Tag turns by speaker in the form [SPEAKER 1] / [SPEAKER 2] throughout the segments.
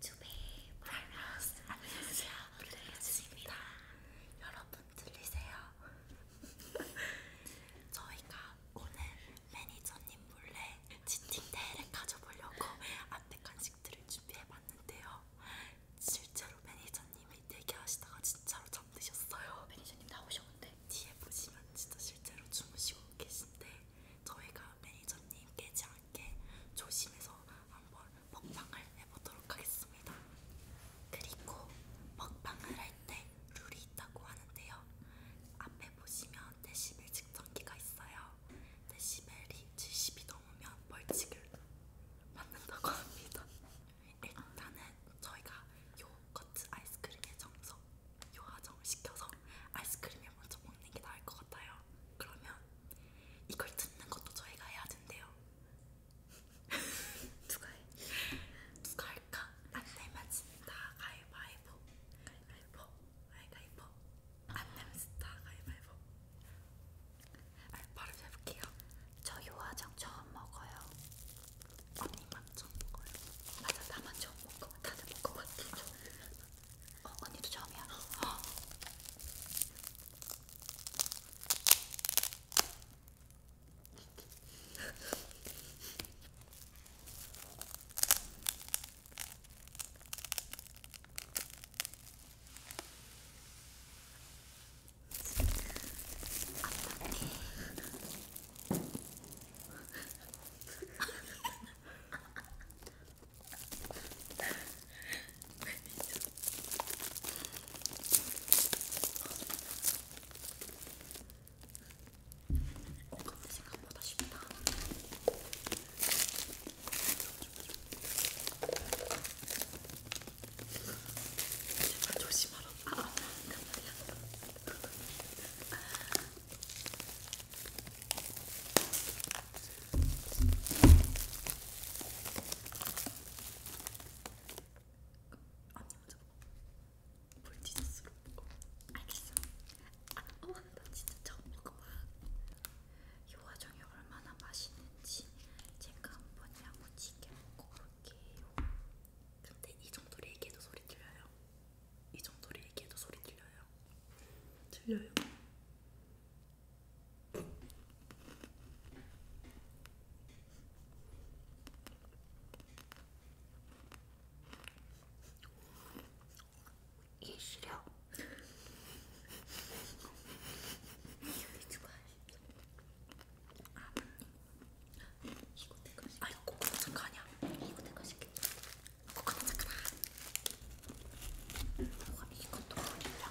[SPEAKER 1] 주베 브라이너스 안녕하세요 블랙스입니다 여러분 들리세요? 저희가 오늘 매니저님 몰래 치팅 대회를 가져보려고 앞에 간식들을 준비해봤는데요 실제로 매니저님이 대기하시다가 진짜로 잠드셨어요 매니저님 나오셨는데 뒤에 보시면 진짜 실제로 주무시고 계신데 저희가 매니저님 깨지 함께 조심해서 한번 먹방을 해보도록 하겠습니다. 그리고 먹방을 할 때 룰이 있다고 하는데요. 앞에 보시면 데시벨 측정기가 있어요. 데시벨이 70이 넘으면 벌칙을 받는다고 합니다. 일단은 저희가 요거트 아이스크림의 정석 요화정을 시켜서 아이스크림을 먼저 먹는 게 나을 것 같아요. 그러면 이걸 듣는 것도 저희가 해야 된대요. 누가 해? 누가 할까? 안 내면 진다 가위바위보. 가위바위보. 가위바위보. 안 내면 진다 가위바위보. 아, 바로 해볼게요. 저 요화정 처음 먹어요. 언니만 처음 먹어요. 맞아, 나만 처음 먹어. 다들 먹어봤지. 아, 어, 언니도 처음이야. 어, 그건 생각보다 쉽다. 제발 조심하라. 아, 깜짝이야. 볼 지저스로 먹어. 알겠어. 아, 어, 나 진짜 처음 먹어봐. 이 화정이 얼마나 맛있는지 제가 한번 야무지게 먹어볼게요. 근데 이 정도로 얘기해도 소리 들려요? 이 정도로 얘기해도 소리 들려요? 들려요? 이 시력 아버님 이거 내가 시켜 아이고 잠깐이야 이거 내가 시켰다 코코넛 잠깐만. 뭐가 이것도 걸려.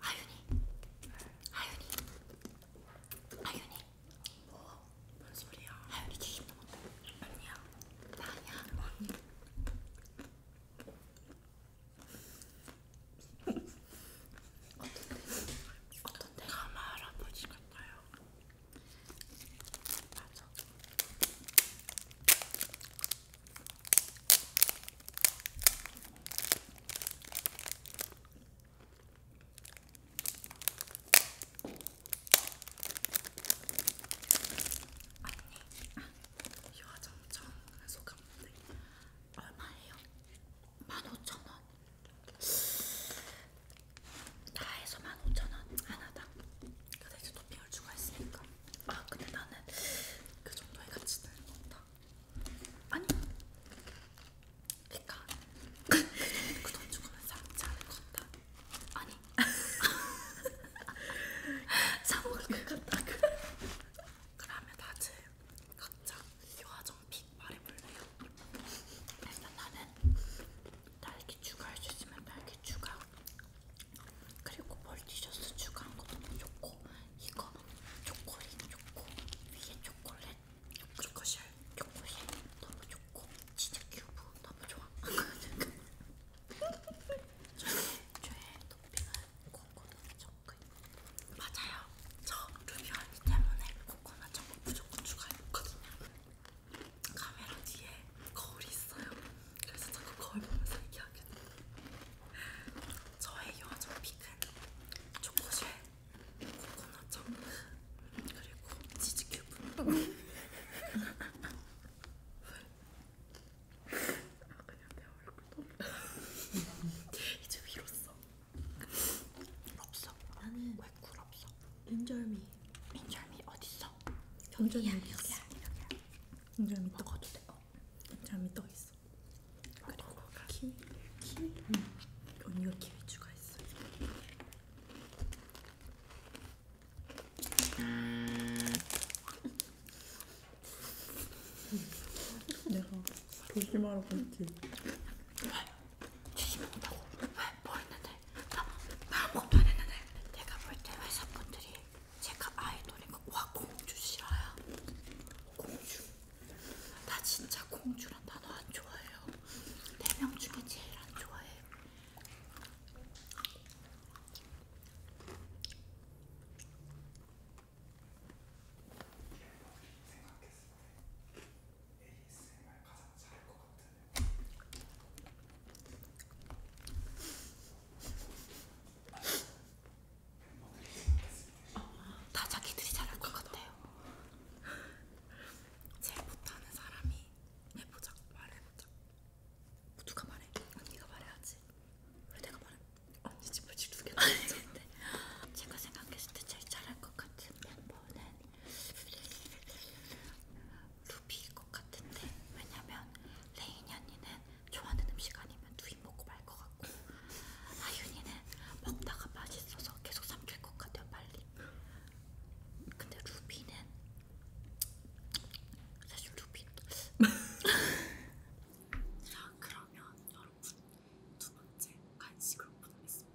[SPEAKER 1] 아윤이, 아윤이, 아윤이. 뭐? 뭔 소리야? 아윤이 게임 너무 아니야. 나 아니야. 아니. 어떤데? 어떤데? 가마 할아버지가 싶어요. 맞아. 언니, 이 화장 처음 소감인데 얼마예요? 15,000원 다 해서 15,000원 하나당 근데 이제 토핑을 추가했으니까 아 근데 나는 그 정도의 가치는 없다 아니 그니까 그 돈 주고는 사먹지 않을 것 같다 아니 사먹을 것 같다 그러면 다들 각자 요아정 픽 말해볼래요? 일단 나는 딸기 추가할 수 있으면 딸기 추가 그리고 멀티셔츠 추가한 것도 너무 뭐 좋고 이거 초콜릿 좋고 위에 초콜릿 초코실 초콜릿 너무 좋고 진짜 큐브 너무 좋아 저의, 저의 토핑은 코코넛 초콜 맞아요 저 루비 언니 때문에 코코넛 정말 무조건 추가해놓거든요. 카메라 뒤에 거울이 있어요. 그래서 자꾸 거울 보면서 얘기하게 돼. 저의 여정 픽은 초코쉘, 코코넛 정크, 그리고 치즈큐브. 아 그냥 내 얼굴 너무 이제 위로 써. 없어. 나는 왜굴 없어? 인절미. 인절미 어딨어? 경절미 여기야. 여기야. 여기야. 인절미 어. 떡어도 돼. 어. 인절미 떡 있어. 그리고 어, 키위. 키위. 응. 언니가 키위 추가했어. 내가 조심하라고 했지. 주시겠다고 뭐 했는데 나, 나 아무것도 안 했는데 내가 볼 때 회사분들이 제가 아이돌이고 와 공주 싫어요 공주 나 진짜 공주란 단어 안 좋아해요 네명 중에 제일 안 좋아해 생각했을 때다 자기들이 잘할 것 같아요. 제일 못하는 사람이 해보자, 말해보자. 누가 말해? 언니가 말해야지. 왜 내가 말해? 언니 집을 지르게 말했는데. 제가 생각했을 때 제일 잘할 것 같은 멤버는 루비일 것 같은데 왜냐면 레이니 언니는 좋아하는 음식 아니면 두 입 먹고 말 것 같고 아윤이는 먹다가 맛있어서 계속 삼킬 것 같아요 빨리 근데 루비는 사실 루비 자 그러면 여러분 두 번째 간식으로 보도록 하겠습니다.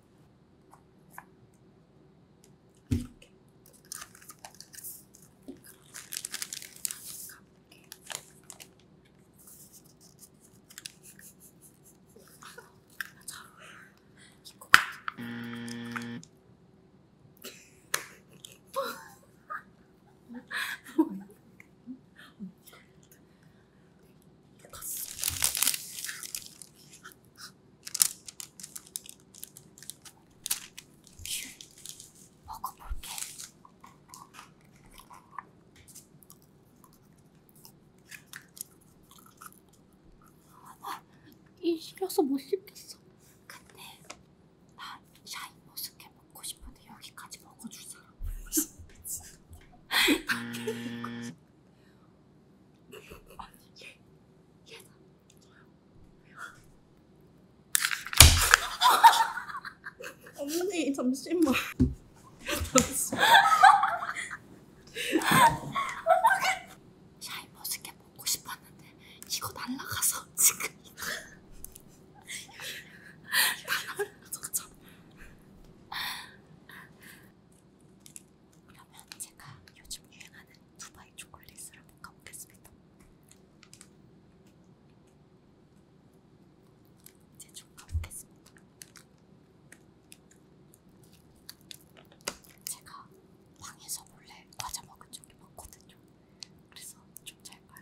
[SPEAKER 1] 이렇게 다시 가볼게. 자, 이거 뭐야? 네, 똑같습니다. 귤 먹어볼게. 아, 이 시려서 못 씹겠어. 근데 나 샤인 머스켓 먹고 싶은데 여기까지 먹어줄 사람. 언니 얘 얘다 언니 잠시만 잠시만 샤이 멋있게 먹고 싶었는데 이거 날라가서 지금 다 날라가서 그러면 제가 요즘 유행하는 두바이 초콜릿을 한번 가보겠습니다. 이제 좀 가보겠습니다. 제가 방에서 몰래 과자 먹은 적이 많거든요. 그래서 좀 잘까요?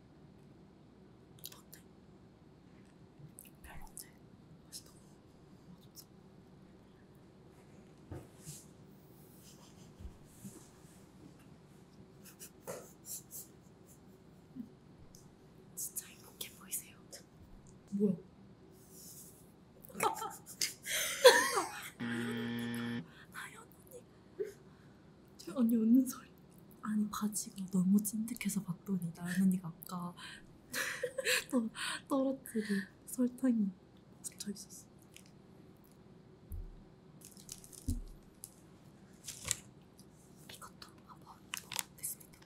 [SPEAKER 1] 어때? 별론데? 맛이 너무 맛없어 진짜 행복해 보이세요 뭐야? 하연 언니 하연 언니 저 언니 웃는 소리. 아니 바지가 너무 찐득해서 봤더니 나연언니가 아까 또 떨어뜨린 설탕이 묻혀 있었어. 이것도 한번 먹어보겠습니다.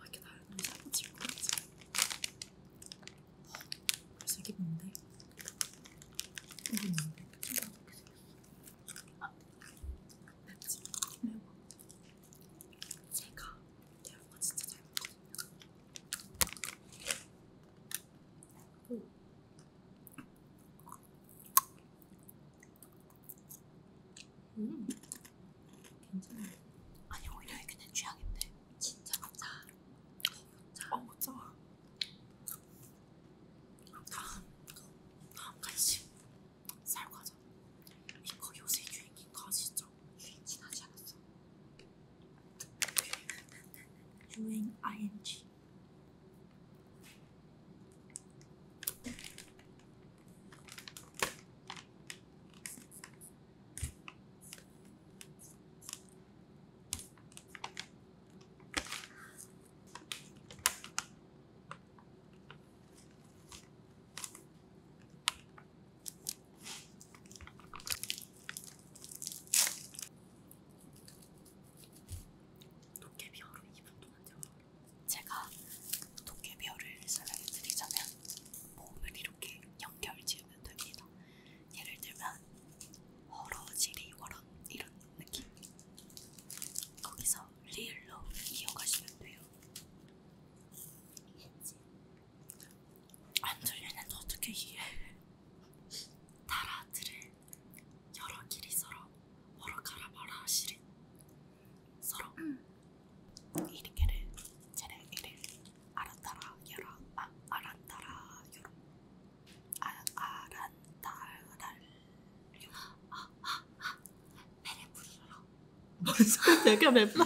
[SPEAKER 1] 이렇게 나연언니 살고 질것 같지? 그래서 어, 이게 뭔데? 이게 뭔데? 생각해보겠습니다. 맵지? 매워. 제가 매운 거 진짜 잘 먹거든요. 음, 괜찮아. 아니 오히려 이게 내 취향인데. 진짜 모짜. 모짜. 어 모짜. 다음 그 다음 간식 쌀과자 이거 요새 유행인 거 아시죠? 유행 지나지 않았어 유행 ing 도깨비어로 2분 동안 대화를 제가 도깨비어를 설명해 드리자면 몸을 이렇게 연결 지으면 됩니다. 예를 들면 허러지리 워런 이런 느낌 거기서 리얼로 이어가시면 돼요. 이해했지? 안 들리는데 어떻게 이해해? 달아들을 여러 길이 서로 멀어 가라 말아 하시린 서로 음. 이리게를 쟤네 이리 알았다라 여라 아, 알았다라 여라 아, 알았다라 베레부르러 뭔 소리야 그냥 맵라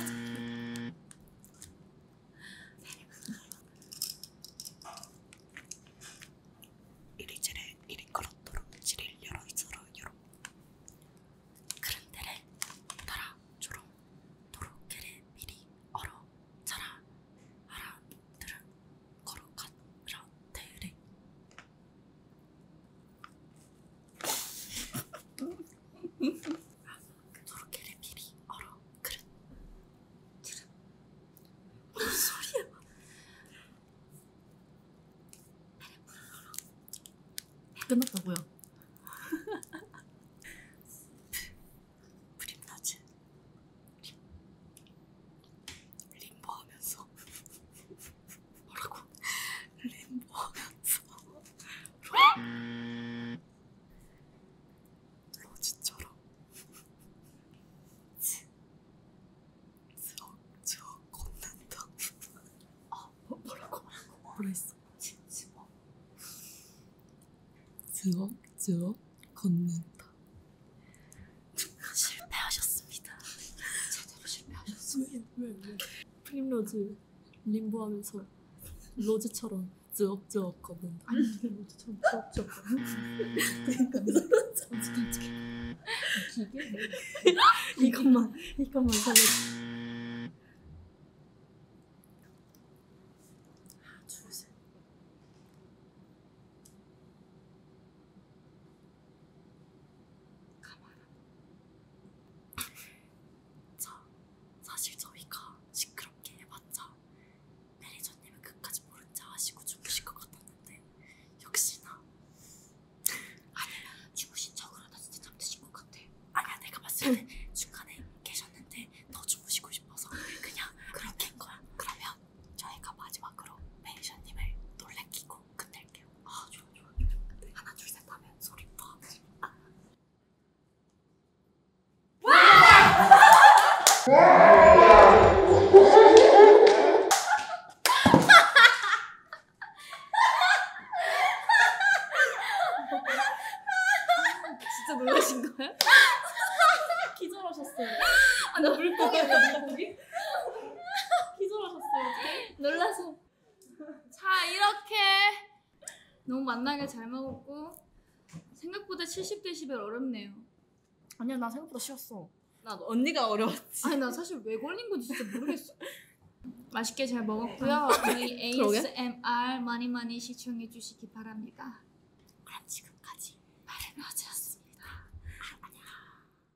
[SPEAKER 1] 이리지레 이리 걸었도록 지릴 열어 있어라 열어 그런데래 나라 조롱 도로케레 미리 얼어 자라 알아 들은 걸어가라테레 도로케레 미리 얼어 그릇 그릇 뭔 소리야 끝났다고요 브림나즈 림보하면서 뭐라고? 림보면서 로지처럼 지럭저 걷는다 어, 어, 아 뭐, 뭐라고? 뭐라 했어? 지럭 지럭 걷는다 실패하셨습니다. 제대로 실패하셨습니다. 왜, 왜, 왜? 프림로즈 림보하면서 로즈처럼 즈업즈업 걷는 아니 로즈처럼 즈업즈업 걷는 음. 그러니까 깜짝깜짝 그 기계? 이것만 이것만 살려 카메라. 자, 사실 저희가 시끄럽게 해봤자 매니저님은 끝까지 모른 자 하시고 주무실 것 같았는데 역시나 아니야 주무신 척으로 나 진짜 잠드신 것 같아. 아니야 내가 봤을 때 중간에 계셨는데 더 주무시고 싶어서 그냥 그렇게 한 거야. 그러면 저희가 마지막으로 매니저님을 놀래키고 하고 끝낼게요. 아 좋아 좋아 좋아. 하나 둘셋 하면 소리부터 아. 진짜 놀라신 거예요? 기절하셨어요. 아나 물고기 물고기? 기절하셨어요. 놀라서. 자, 이렇게 너무 만나게 잘 먹었고 생각보다 70dB 어렵네요. 아니야, 나 생각보다 쉬웠어. 나 언니가 어려웠지. 아니, 나 사실 왜 걸린 건지 진짜 모르겠어. 맛있게 잘 먹었고요. 저희 ASMR 많이 많이 시청해 주시기 바랍니다. 그럼 지금까지 바른 여자였습니다. 아,